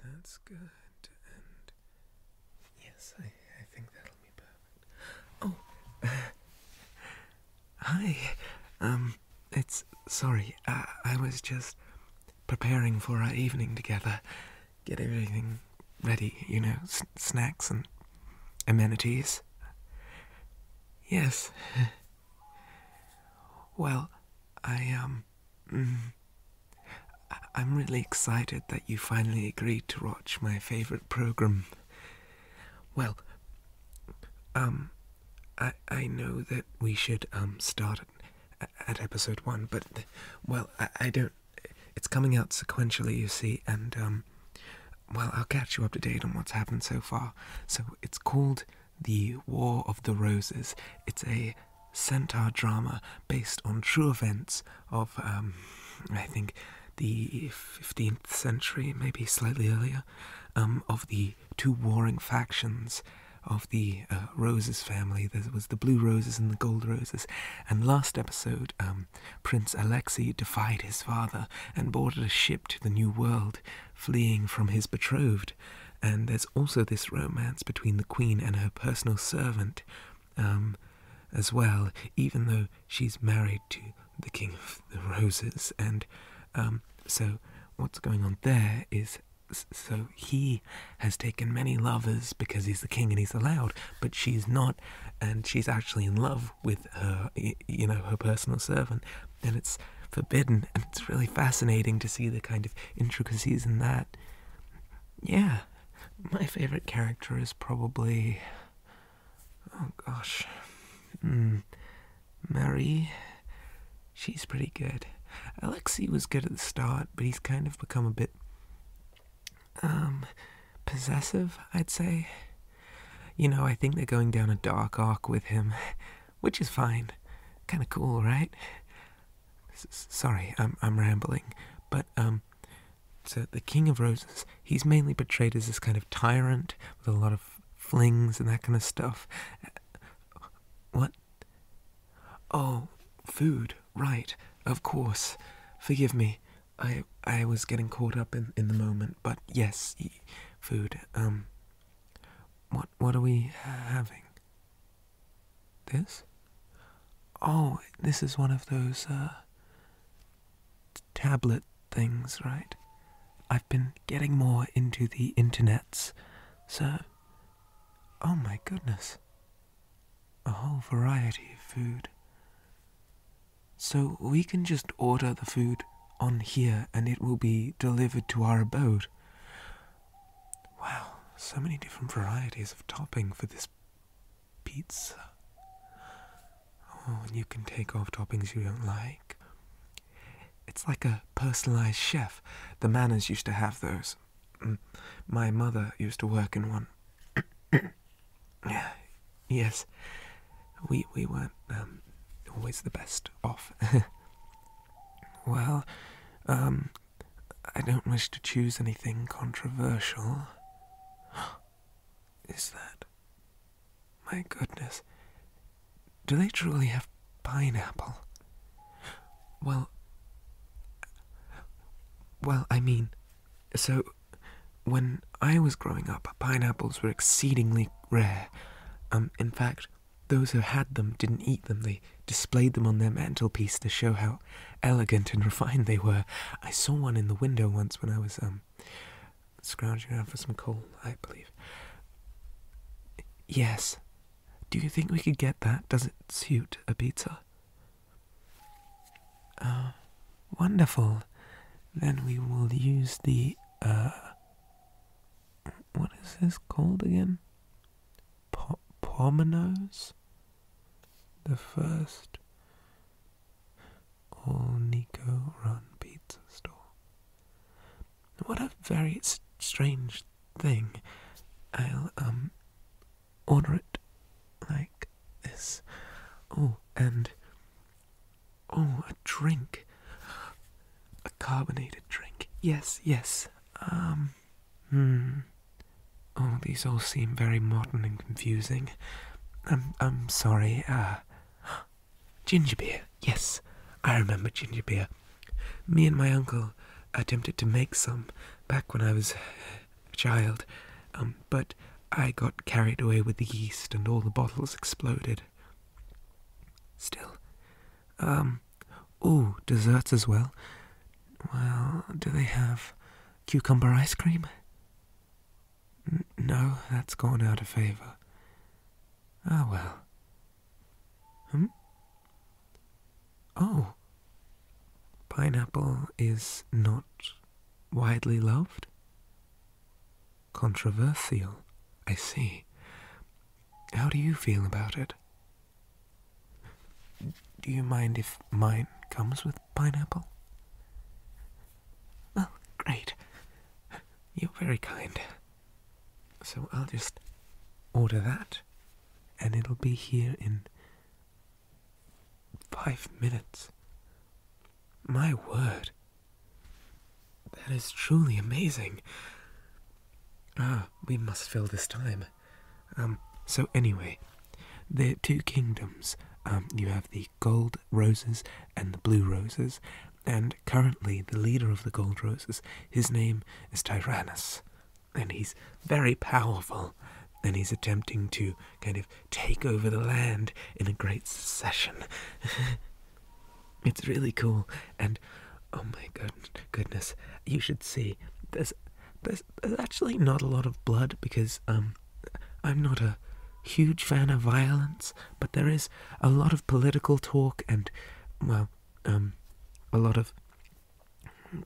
Okay, that's good. And yes, I, I think that'll be perfect. Oh, hi. Um, it's sorry. Uh, I was just preparing for our evening together, get everything ready, you know, snacks and amenities. Yes. Well, I, um. Mm, I am really excited that you finally agreed to watch my favorite program. Well, um, I I know that we should um start at, at episode one, but well, I I don't it's coming out sequentially, you see, and um, well, I'll catch you up to date on what's happened so far. So it's called The War of the Roses. It's a centaur drama based on true events of, um, I think, the 15th century, maybe slightly earlier, um, of the two warring factions of the uh, Roses family. There was the Blue Roses and the Gold Roses. And last episode, Prince Alexei defied his father and boarded a ship to the New World, fleeing from his betrothed. And there's also this romance between the Queen and her personal servant, um, as well, even though she's married to the King of the Roses. And um, so, what's going on there is so he has taken many lovers because he's the king and he's allowed, but she's not and she's actually in love with her you know her personal servant and it's forbidden and it's really fascinating to see the kind of intricacies in that yeah my favorite character is probably oh gosh mm. she's pretty good alexei was good at the start but he's kind of become a bit um, possessive, I'd say. You know, I think they're going down a dark arc with him, which is fine. Kind of cool, right? sorry, I'm I'm rambling, but um, so the King of Roses, he's mainly portrayed as this kind of tyrant with a lot of flings and that kind of stuff. Uh, what? Oh, food, right? Of course. Forgive me. I I was getting caught up in, in the moment, but yes, food. Um. What what are we having? This? Oh, this is one of those uh tablet things, right? I've been getting more into the internets, so. Oh my goodness a whole variety of food. So we can just order the food on here and it will be delivered to our abode. Wow, so many different varieties of topping for this pizza. Oh, and you can take off toppings you don't like. It's like a personalized chef. The manners used to have those. My mother used to work in one. yes. We, we weren't um, always the best off. well, um, I don't wish to choose anything controversial. Is that? My goodness. Do they truly have pineapple? Well, well, I mean, so when I was growing up, pineapples were exceedingly rare. Um, in fact, those who had them didn't eat them. They displayed them on their mantelpiece to show how elegant and refined they were. I saw one in the window once when I was um scrounging around for some coal, I believe. Yes. Do you think we could get that? Does it suit a pizza? Uh, wonderful. Then we will use the, uh, what is this called again? Po The first all Nico run pizza store. What a very strange thing. I'll, um, order it like this. Oh, and oh, a drink. A carbonated drink. Yes, yes. Um, hmm. Oh, these all seem very modern and confusing. I'm, I'm sorry. Uh, ginger beer. Yes, I remember ginger beer. Me and my uncle attempted to make some back when I was child, um, but I got carried away with the yeast and all the bottles exploded. Still, um, oh, desserts as well. Well, do they have cucumber ice cream? no, that's gone out of favour. Ah, well. Hmm? Oh, pineapple is not widely loved? Controversial, I see. How do you feel about it? Do you mind if mine comes with pineapple? Well, great. You're very kind. So I'll just order that, and it'll be here in Five minutes. My word. That is truly amazing. Ah, we must fill this time. Um, so anyway, there are two kingdoms. Um, you have the gold roses and the blue roses, and currently the leader of the gold roses, his name is Tyrannus and he's very powerful, and he's attempting to kind of take over the land in a great succession. it's really cool, and oh my good goodness, you should see. There's, there's there's actually not a lot of blood because um, I'm not a huge fan of violence, but there is a lot of political talk and well, um, a lot of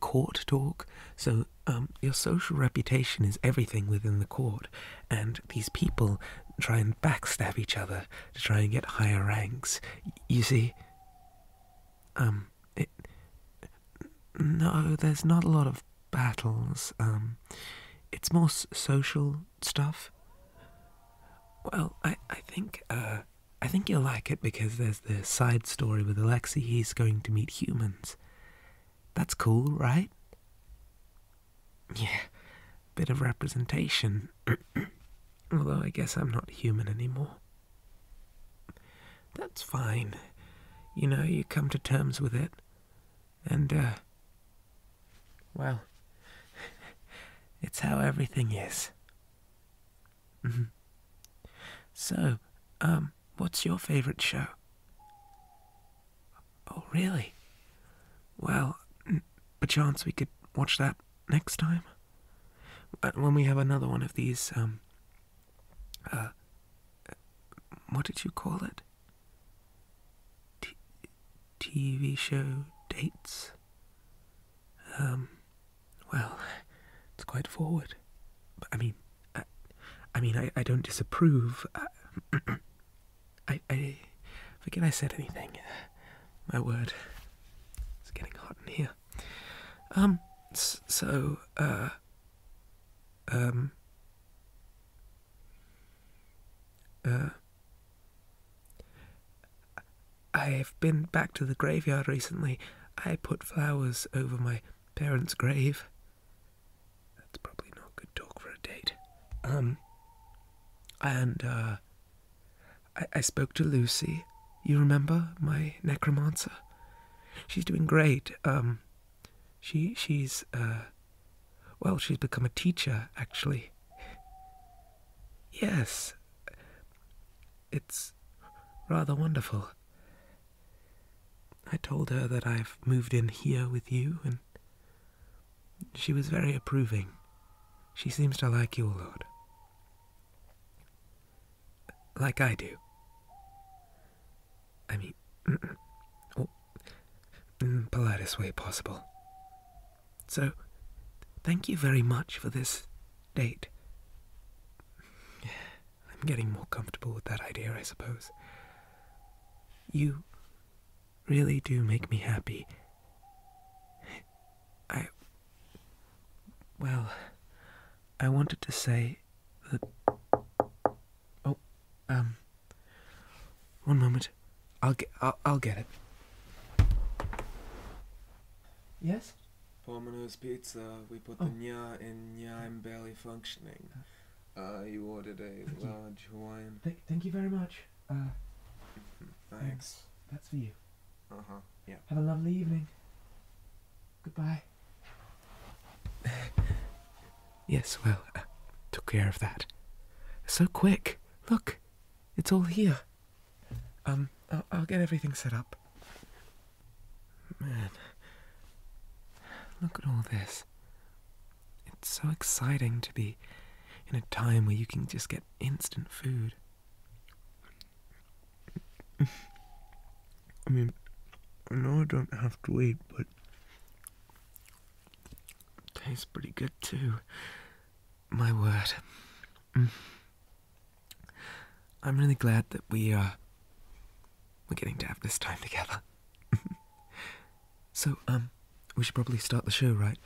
court talk. So, um, your social reputation is everything within the court, and these people try and backstab each other to try and get higher ranks. You see, um, it, no, there's not a lot of battles. Um, it's more social stuff. Well, I, I think, uh, I think you'll like it because there's the side story with Alexei, he's going to meet humans. That's cool, right? Yeah, bit of representation. Although I guess I'm not human anymore. That's fine. You know, you come to terms with it. And, uh, well, it's how everything is. Mm-hmm. So, um, what's your favourite show? Oh, really? Well, perchance we could watch that next time. When we have another one of these, um, uh, what did you call it? TV show dates? Um, well, it's quite forward. But, I mean, I, mean, I, I don't disapprove. Uh, I, I, forget I said anything. My word, it's getting hot in here. Um, so, uh, um, uh, I've been back to the graveyard recently. I put flowers over my parents' grave. That's probably not good talk for a date. Um, and, uh, I, I spoke to Lucy. You remember my necromancer? She's doing great. Um, she, she's, uh, well, she's become a teacher, actually. Yes, it's rather wonderful. I told her that I've moved in here with you, and she was very approving. She seems to like you a lot, Like I do. I mean, oh, in the politest way possible. So, thank you very much for this date. I'm getting more comfortable with that idea, I suppose. You really do make me happy. I. Well, I wanted to say that. Oh, um. One moment. I'll get. I'll, I'll get it. Yes? Pomino's Pizza, we put the oh. nya in nya, I'm barely functioning. Uh, you ordered a large you. Hawaiian. thank you very much. Uh, mm-hmm. thanks. That's for you. Uh huh. Yeah. Have a lovely evening. Goodbye. yes, well, uh, took care of that. So quick. Look, it's all here. Um, I'll, get everything set up. Man, look at all this. It's so exciting to be in a time where you can just get instant food. I mean, I know I don't have to wait, but it tastes pretty good too. My word. Mm. I'm really glad that we uh we're getting to have this time together. so, um, we should probably start the show, right?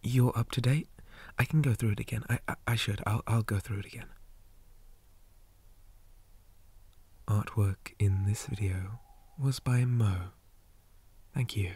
You're up to date? I can go through it again. I I, I should. I'll I'll go through it again. Artwork in this video was by Mo. Thank you.